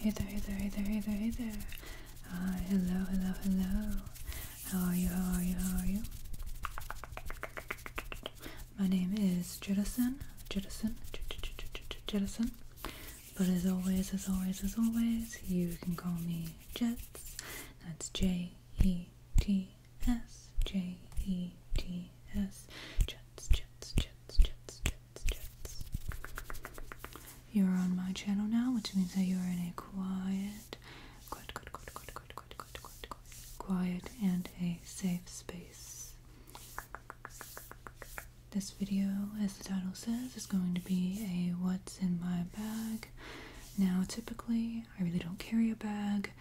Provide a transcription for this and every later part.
Hey there, hey there, hey there, hey there, hey there. Hi, ah, hello, hello, hello. How are you, how are you, how are you? My name is Jettison, Jettison, Jettison. But as always, as always, as always, you can call me Jets. That's J E T S, J E T S, Jets, Jets, Jets. Jets, Jets, Jets, You're on my channel now, which means that you're in a quiet, quiet, quiet, quiet, quiet, quiet, quiet, quiet, quiet, quiet, quiet and a safe space. This video, as the title says, is going to be a what's in my bag. Now, typically, I really don't carry a bag.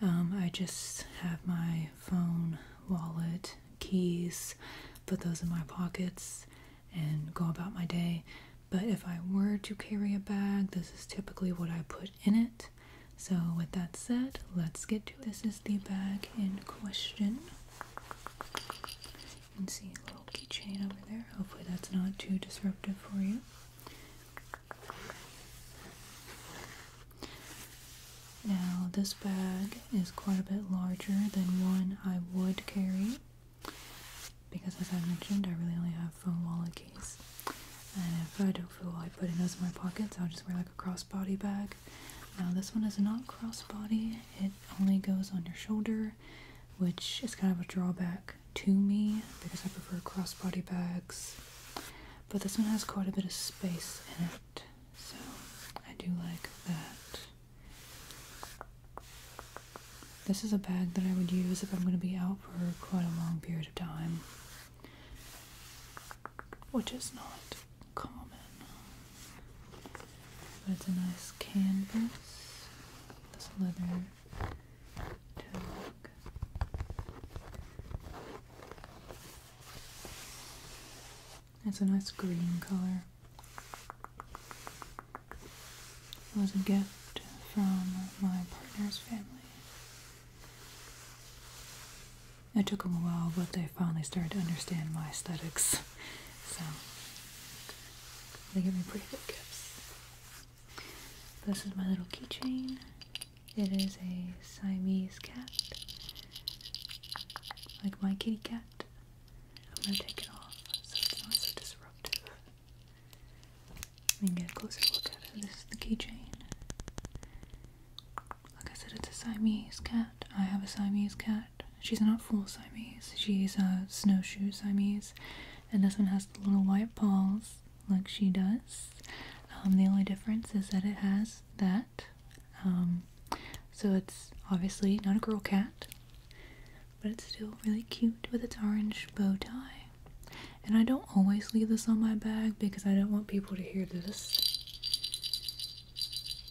Um, I just have my phone, wallet, keys, put those in my pockets and go about my day. But if I were to carry a bag, this is typically what I put in it. So, with that said, let's get to This is the bag in question. You can see keychain over there. Hopefully, that's not too disruptive for you. Now, this bag is quite a bit larger than one I would carry because, as I mentioned, I really only have phone wallet case. And if I don't feel like putting those in my pockets, I'll just wear like a crossbody bag. Now, this one is not crossbody, it only goes on your shoulder, which is kind of a drawback to me because I prefer crossbody bags. But this one has quite a bit of space in it. So I do like that. This is a bag that I would use if I'm going to be out for quite a long period of time, which is not common. But it's a nice canvas, this leather tag. It's a nice green color. It was a gift from my partner's family. It took them a while, but they finally started to understand my aesthetics. So, they give me pretty good gifts. This is my little keychain. It is a Siamese cat, like my kitty cat. I'm gonna take it off so it's not so disruptive. We can get a closer look at it. This is the keychain. Like I said, it's a Siamese cat. I have a Siamese cat. She's not full Siamese. She's a snowshoe Siamese, and this one has the little white paws like she does. Um, the only difference is that it has that um, so it's obviously not a girl cat, but it's still really cute with its orange bow tie. And I don't always leave this on my bag because I don't want people to hear this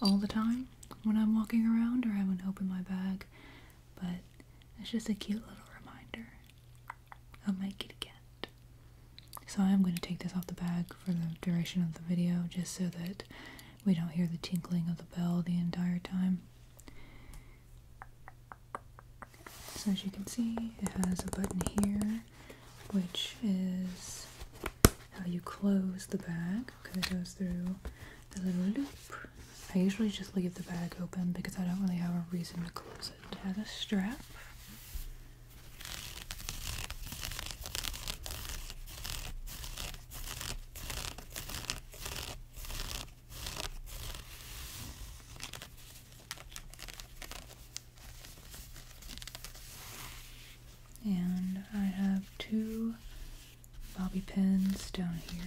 all the time when I'm walking around or I have to open my bag. But it's just a cute little reminder of my kitty cat. So I'm going to take this off the bag for the duration of the video just so that we don't hear the tinkling of the bell the entire time. So as you can see, it has a button here, which is how you close the bag because it goes through the little loop. I usually just leave the bag open because I don't really have a reason to close it. It has a strap and I have two bobby pins down here.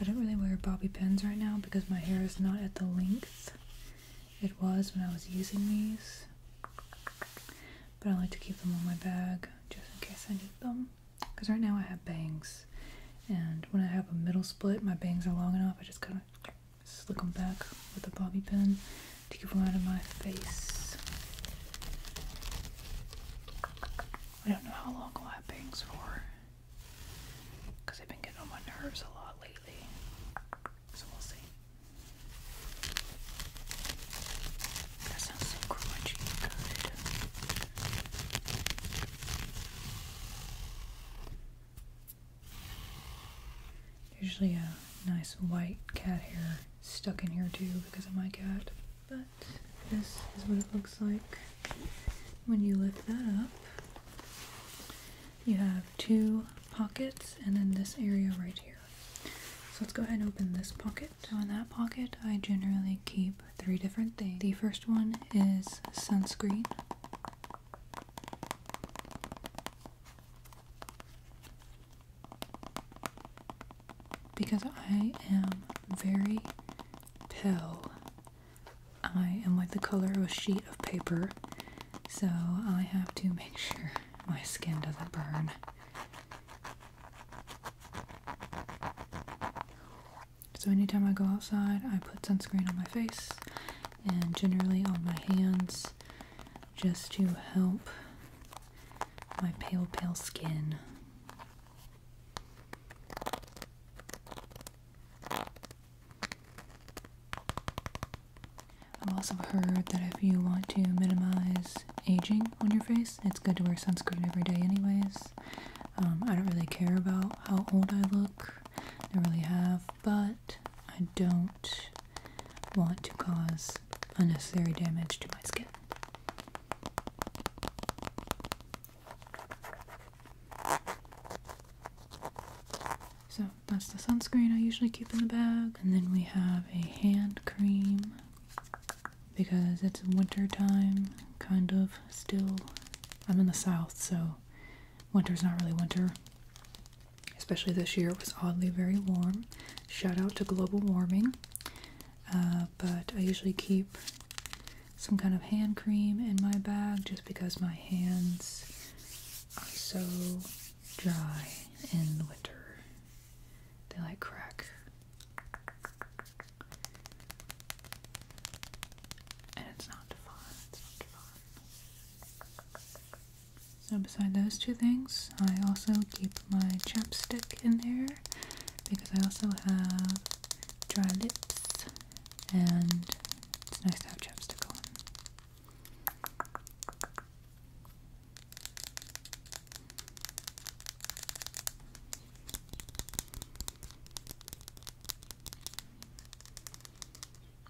I don't really wear bobby pins right now because my hair is not at the length it was when I was using these, but I like to keep them in my bag just in case I need them. Because right now I have bangs, and when I have a middle split, my bangs are long enough, I just kind of slick them back with a bobby pin to keep them out of my face. I don't know how long I'll have bangs for because they've been getting on my nerves a lot lately. So we'll see. That sounds so crunchy good. Usually a nice white cat hair stuck in here too because of my cat. But this is what it looks like when you lift that up. You have two pockets and then this area right here. So let's go ahead and open this pocket. So in that pocket, I generally keep three different things. The first one is sunscreen. Because I am very pale. I am like the color of a sheet of paper, so I have to make sure my skin doesn't burn. So, anytime I go outside, I put sunscreen on my face and generally on my hands just to help my pale, pale skin. I've also heard that if you want to minimize aging on your face, it's good to wear sunscreen every day, anyways. Um, I don't really care about how old I look, I really have, but I don't want to cause unnecessary damage to my skin. So that's the sunscreen I usually keep in the bag. And then we have a hand cream because it's wintertime, kind of still. I'm in the south, so winter's not really winter. Especially this year, it was oddly very warm. Shout out to global warming. Uh, but I usually keep some kind of hand cream in my bag just because my hands are so dry in the winter. They like crack. And it's not fun. It's not fun. So beside those two things, I also keep my chapstick in there because I also have dry lips and it's nice to have chapstick on.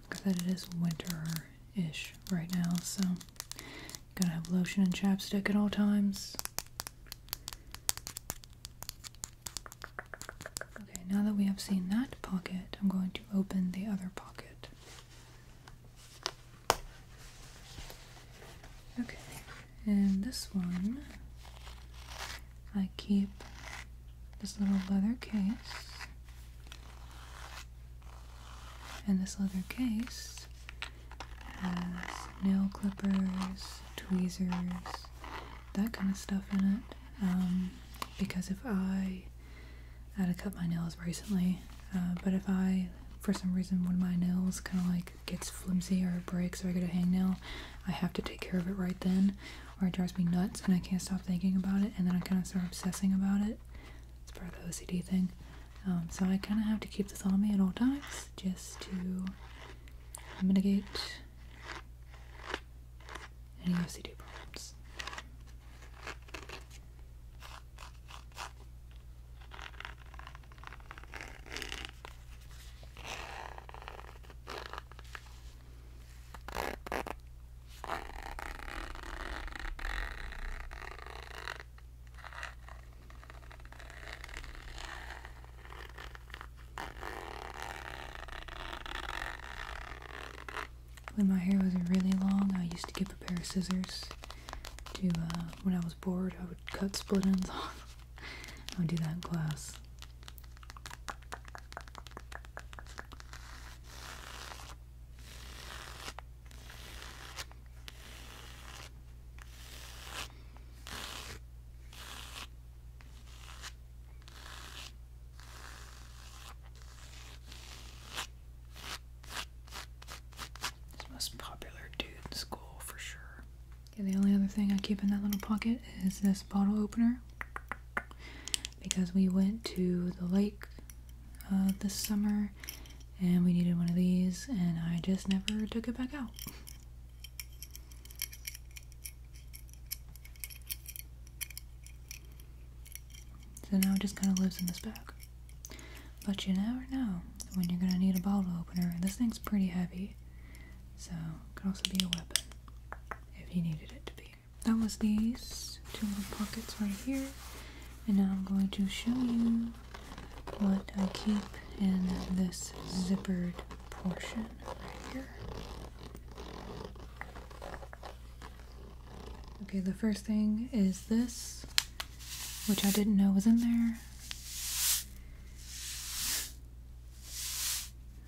Because it is winter-ish right now, so you gotta have lotion and chapstick at all times. Okay, now that we have seen that pocket, I'm going to open the other pocket. Okay, and this one, I keep this little leather case. And this leather case has nail clippers, tweezers, that kind of stuff in it. Um, because if I, had to cut my nails recently, uh, but if I, for some reason, one of my nails kind of like gets flimsy or breaks or I get a hang nail, I have to take care of it right then, or it drives me nuts and I can't stop thinking about it, and then I kind of start obsessing about it. It's part of the OCD thing. Um, so I kind of have to keep this on me at all times just to mitigate any OCD problems. When my hair was really long, I used to get a pair of scissors to, uh, when I was bored, I would cut split ends off. I would do that in class most popular dude in school for sure. Okay, the only other thing I keep in that little pocket is this bottle opener because we went to the lake uh, this summer and we needed one of these and I just never took it back out. So now it just kind of lives in this bag. But you never know when you're going to need a bottle opener. This thing's pretty heavy, so it could also be a weapon if you needed it to be. That was these two little pockets right here. And now I'm going to show you what I keep in this zippered portion right here. Okay, the first thing is this, which I didn't know was in there.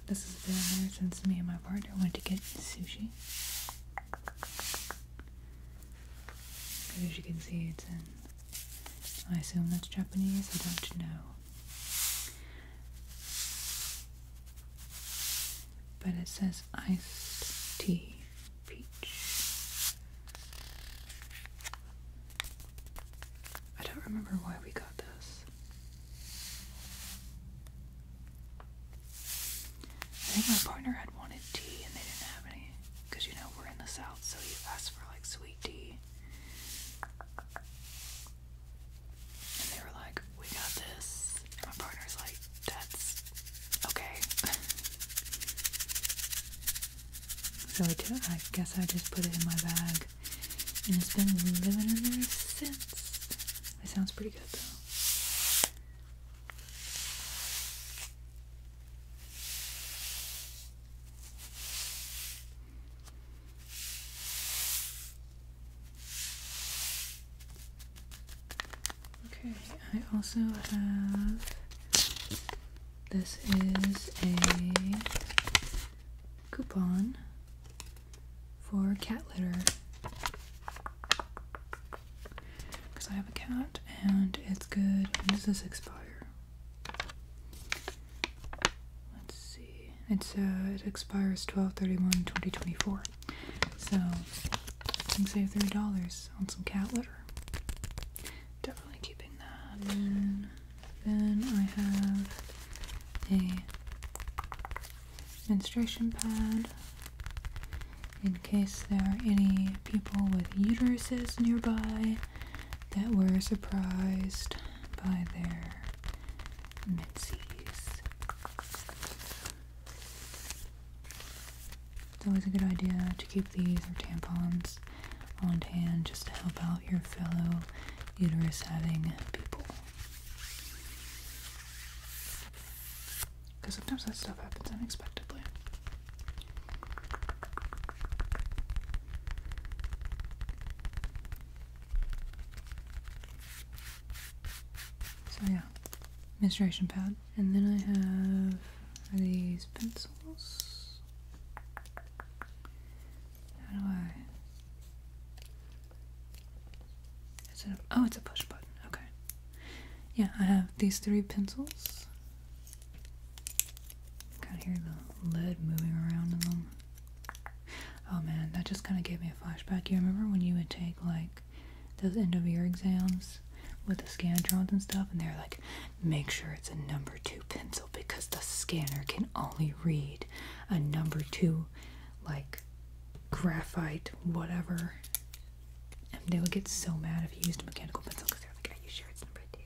This has been there since me and my partner went to get sushi. As you can see, it's in. I assume that's Japanese, I don't know. But it says iced tea peach. I don't remember why we got this. I think my partner had wanted tea and they didn't have any. Because you know, we're in the south, so you ask for like sweet tea. And they were like, we got this. my partner's like, that's okay. so I I guess I just put it in my bag. And it's been living in there since. It sounds pretty good though. Okay, I also have this is a coupon for cat litter because I have a cat and it's good. When does this expire? Let's see. It's uh, it expires 12 2024 So I can save three dollars on some cat litter. Definitely keeping that. then I have a menstruation pad in case there are any people with uteruses nearby that were surprised by their mitsies. It's always a good idea to keep these or tampons on hand just to help out your fellow uterus having people. Because sometimes that stuff happens unexpectedly. So yeah, menstruation pad. And then I have these pencils. How do I? Oh, it's a push button. Okay. Yeah, I have these three pencils. Kind of hear the lead moving around in them. Oh man, that just kind of gave me a flashback. You remember when you would take like those end of year exams with the scantrons and stuff, and they're like, make sure it's a number two pencil because the scanner can only read a number two, like graphite, whatever. And they would get so mad if you used a mechanical pencil because they're like, are you sure it's number two?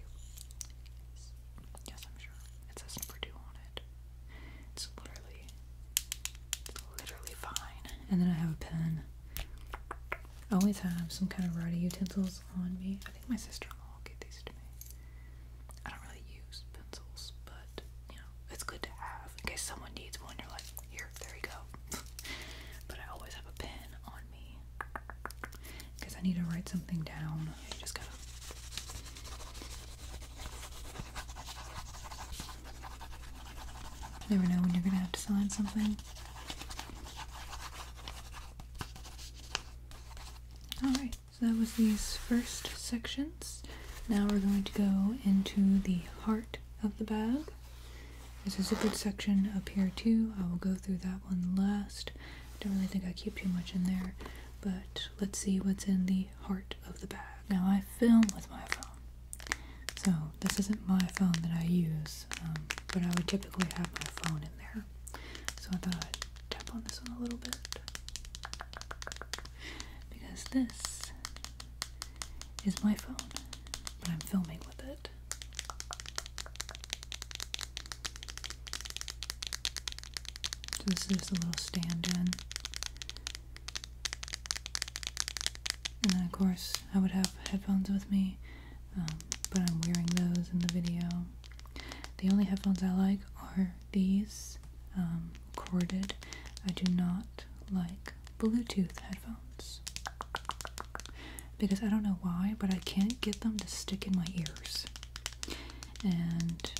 Yes, I'm sure. It says Purdue on it. It's literally, literally fine. And then I have a pen. I always have some kind of writing utensils on me. I think my sister-in-law gave these to me. I don't really use pencils, but you know, it's good to have in case someone needs one. You're like, here, there you go. but I always have a pen on me. Because I need to write something down. never know when you're gonna have to sign something. Alright, so that was these first sections. Now we're going to go into the heart of the bag. This is a good section up here too. I will go through that one last. I don't really think I keep too much in there but let's see what's in the heart of the bag. Now, I film with my phone, so this isn't my phone that I use, um, but I would typically have my phone in there. So I thought I'd tap on this one a little bit because this is my phone, but I'm filming with it. So this is a little stand-in. And then of course I would have headphones with me, um, but I'm wearing those in the video. The only headphones I like are these, um, corded. I do not like Bluetooth headphones. Because I don't know why, but I can't get them to stick in my ears and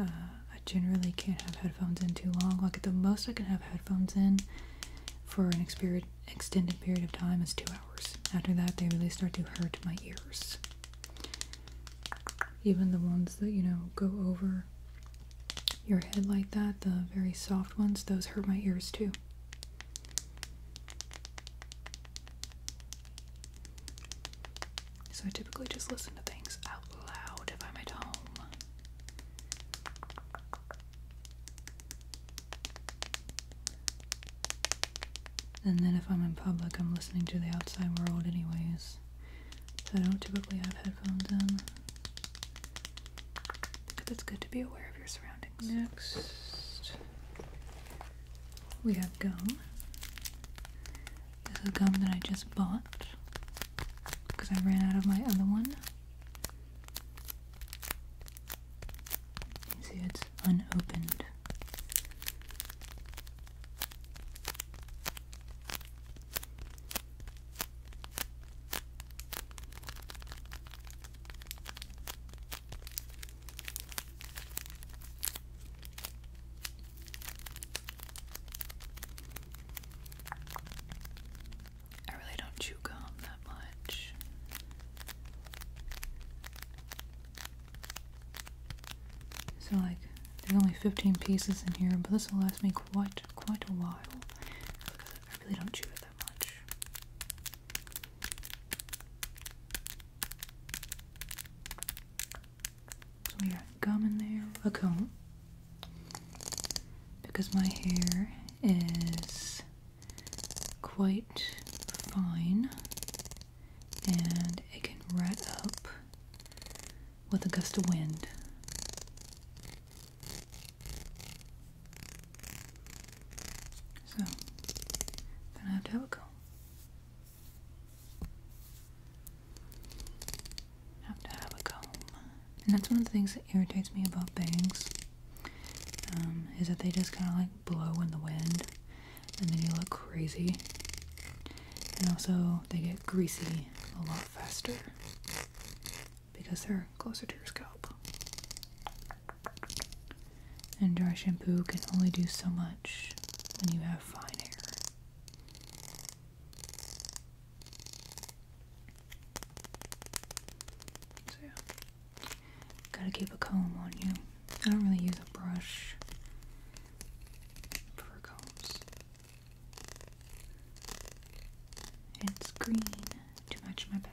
uh, I generally can't have headphones in too long. Like at the most I can have headphones in for an extended period of time is two hours. After that, they really start to hurt my ears. Even the ones that you know go over your head like that, the very soft ones, those hurt my ears too. So I typically just listen to things out loud if I'm at home. And then if I'm in public, I'm listening to the outside world, anyways. So I don't typically have headphones in. Because it's good to be aware of your surroundings. Next we have gum. This is gum that I just bought because I ran out of my other one. You see, it's unopened. I really don't chew gum that much. So like there's only 15 pieces in here, but this will last me quite quite a while I really don't chew it that much. So we got gum in there, a comb, because my hair is quite fine and it can rat up with a gust of wind. So, I'm gonna have to have a comb. Have to have a comb. And that's one of the things that irritates me about bangs. Um, is that they just kind of like blow in the wind and then you look crazy. And also, they get greasy a lot faster because they're closer to your scalp. And dry shampoo can only do so much when you have fine hair. So yeah, gotta keep a comb on you. I don't really use a brush for combs. It's green to match my bag.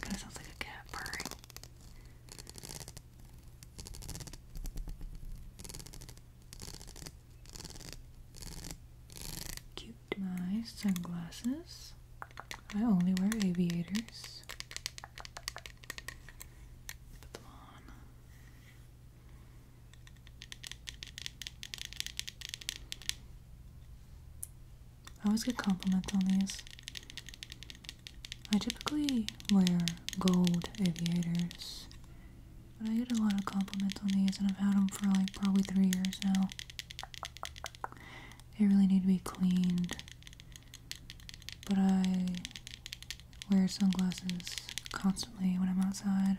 Kind of sounds like a cat purring. Cute my sunglasses. I only wear aviators. Put them on. I always get compliments on these. I typically wear gold aviators, but I get a lot of compliments on these, and I've had them for like probably three years now. They really need to be cleaned, but I wear sunglasses constantly when I'm outside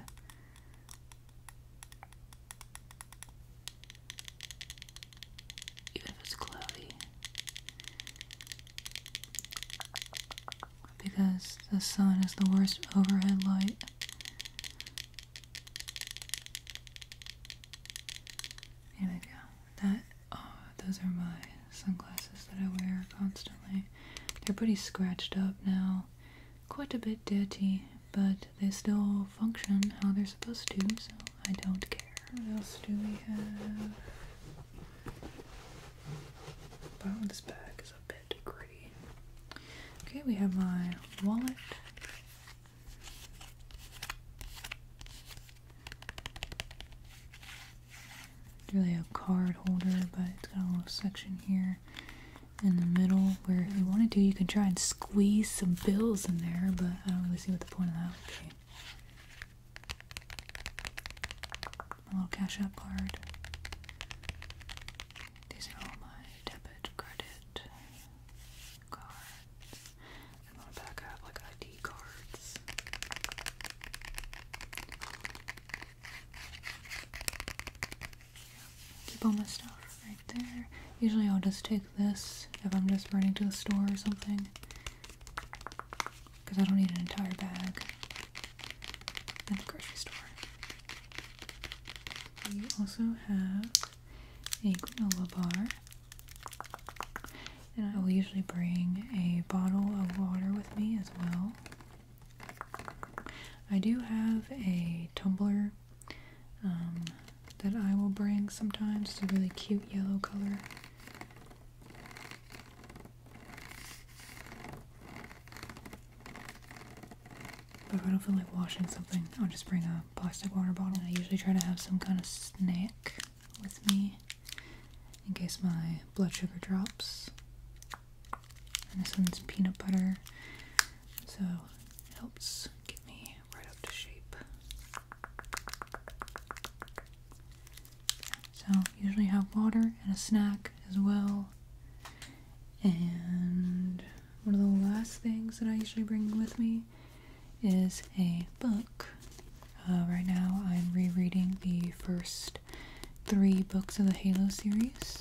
even if it's cloudy. Because the sun is the worst overhead light. There we go. That oh, those are my sunglasses that I wear constantly. They're pretty scratched up now, quite a bit dirty, but they still function how they're supposed to, so I don't care. What else do we have? The this bag is a bit gritty. Okay, we have my wallet. really a card holder, but it's got a little section here in the middle where if you wanted to you could try and squeeze some bills in there, but I don't really see what the point of that would be. My little cash app card. These are all my debit, credit cards. I'm gonna back up like ID cards. Keep all my stuff right there. Usually I'll just take this if I'm just running to the store or something. Because I don't need an entire bag at the grocery store. We also have a granola bar. And I will usually bring a bottle of water with me as well. I do have a tumbler um, that I will bring sometimes. It's a really cute yellow color. But if I don't feel like washing something, I'll just bring a plastic water bottle. I usually try to have some kind of snack with me in case my blood sugar drops. And this one's peanut butter, so it helps get me right up to shape. So, usually have water and a snack as well. And one of the last things that I usually bring with me is a book. Uh, right now, I'm rereading the first three books of the Halo series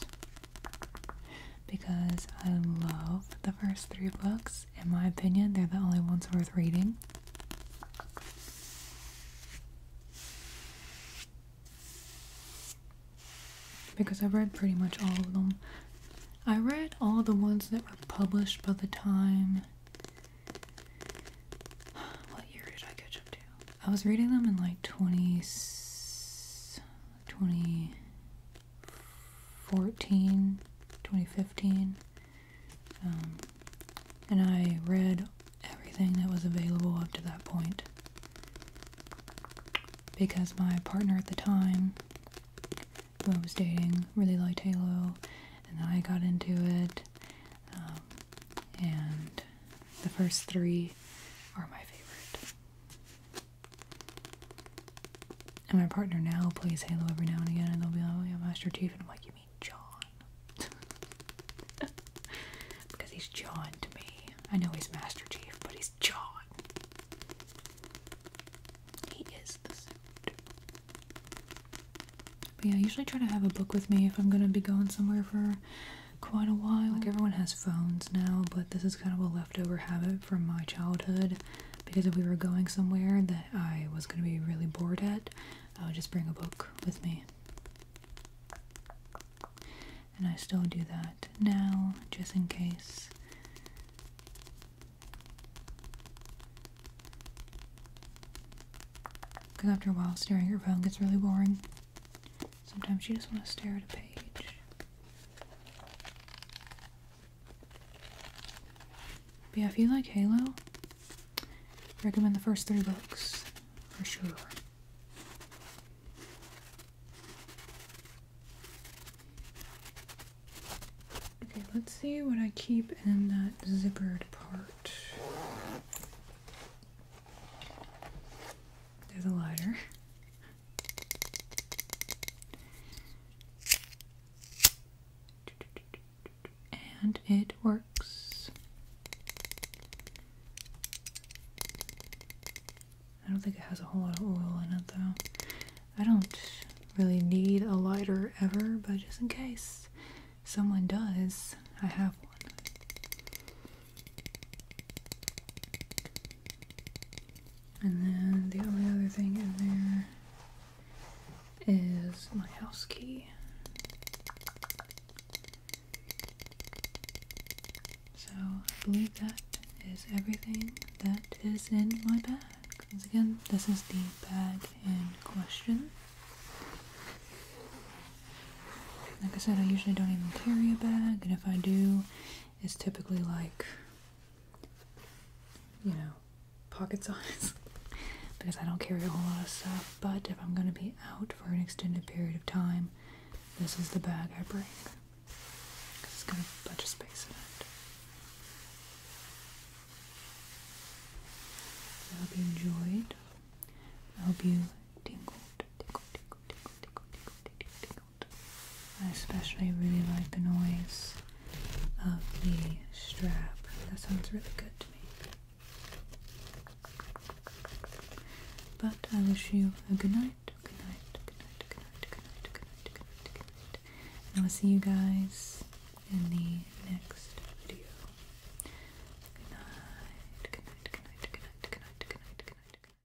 because I love the first three books. In my opinion, they're the only ones worth reading. Because I've read pretty much all of them. I read all the ones that were published by the time. What year did I catch up to? I was reading them in like 20. 20 2014, 2015, um, and I read everything that was available up to that point because my partner at the time, who I was dating, really liked Halo, and I got into it, um, and the first three are my favorite. And my partner now plays Halo every now and again, and they'll be like, "Oh yeah, Master Chief," and I'm like, "You mean John?" because he's John to me. I know he's Master Chief, but he's John. He is the suit. But yeah, I usually try to have a book with me if I'm gonna be going somewhere for quite a while. Like everyone has phones now, but this is kind of a leftover habit from my childhood because if we were going somewhere that I was going to be really bored at, I would just bring a book with me. And I still do that now, just in case. Because after a while, staring at your phone gets really boring. Sometimes you just want to stare at a page yeah, if you like Halo, recommend the first three books for sure. Okay, let's see what I keep in that zippered part. There's a lighter. And it works. I don't think it has a whole lot of oil in it though. I don't really need a lighter ever, but just in case someone does, I have one. And then the only other thing in there is my house key. So I believe that is everything that is in my bag. Once again, this is the bag in question. Like I said, I usually don't even carry a bag, and if I do, it's typically like, you know, pocket size because I don't carry a whole lot of stuff. But if I'm going to be out for an extended period of time, this is the bag I bring it's got a bunch of space in it. I hope you enjoyed. I hope you tingled, tingled, tingled, tingled, tingled, tingled, tingled, tingled, field. I especially really like the noise of the strap. That sounds really good to me. But I wish you a good night, good night, good night, good night, good night, good night, good night, good night. And I will see you guys in the next video. Good night, good night, good night, good night, good night, good night, good night.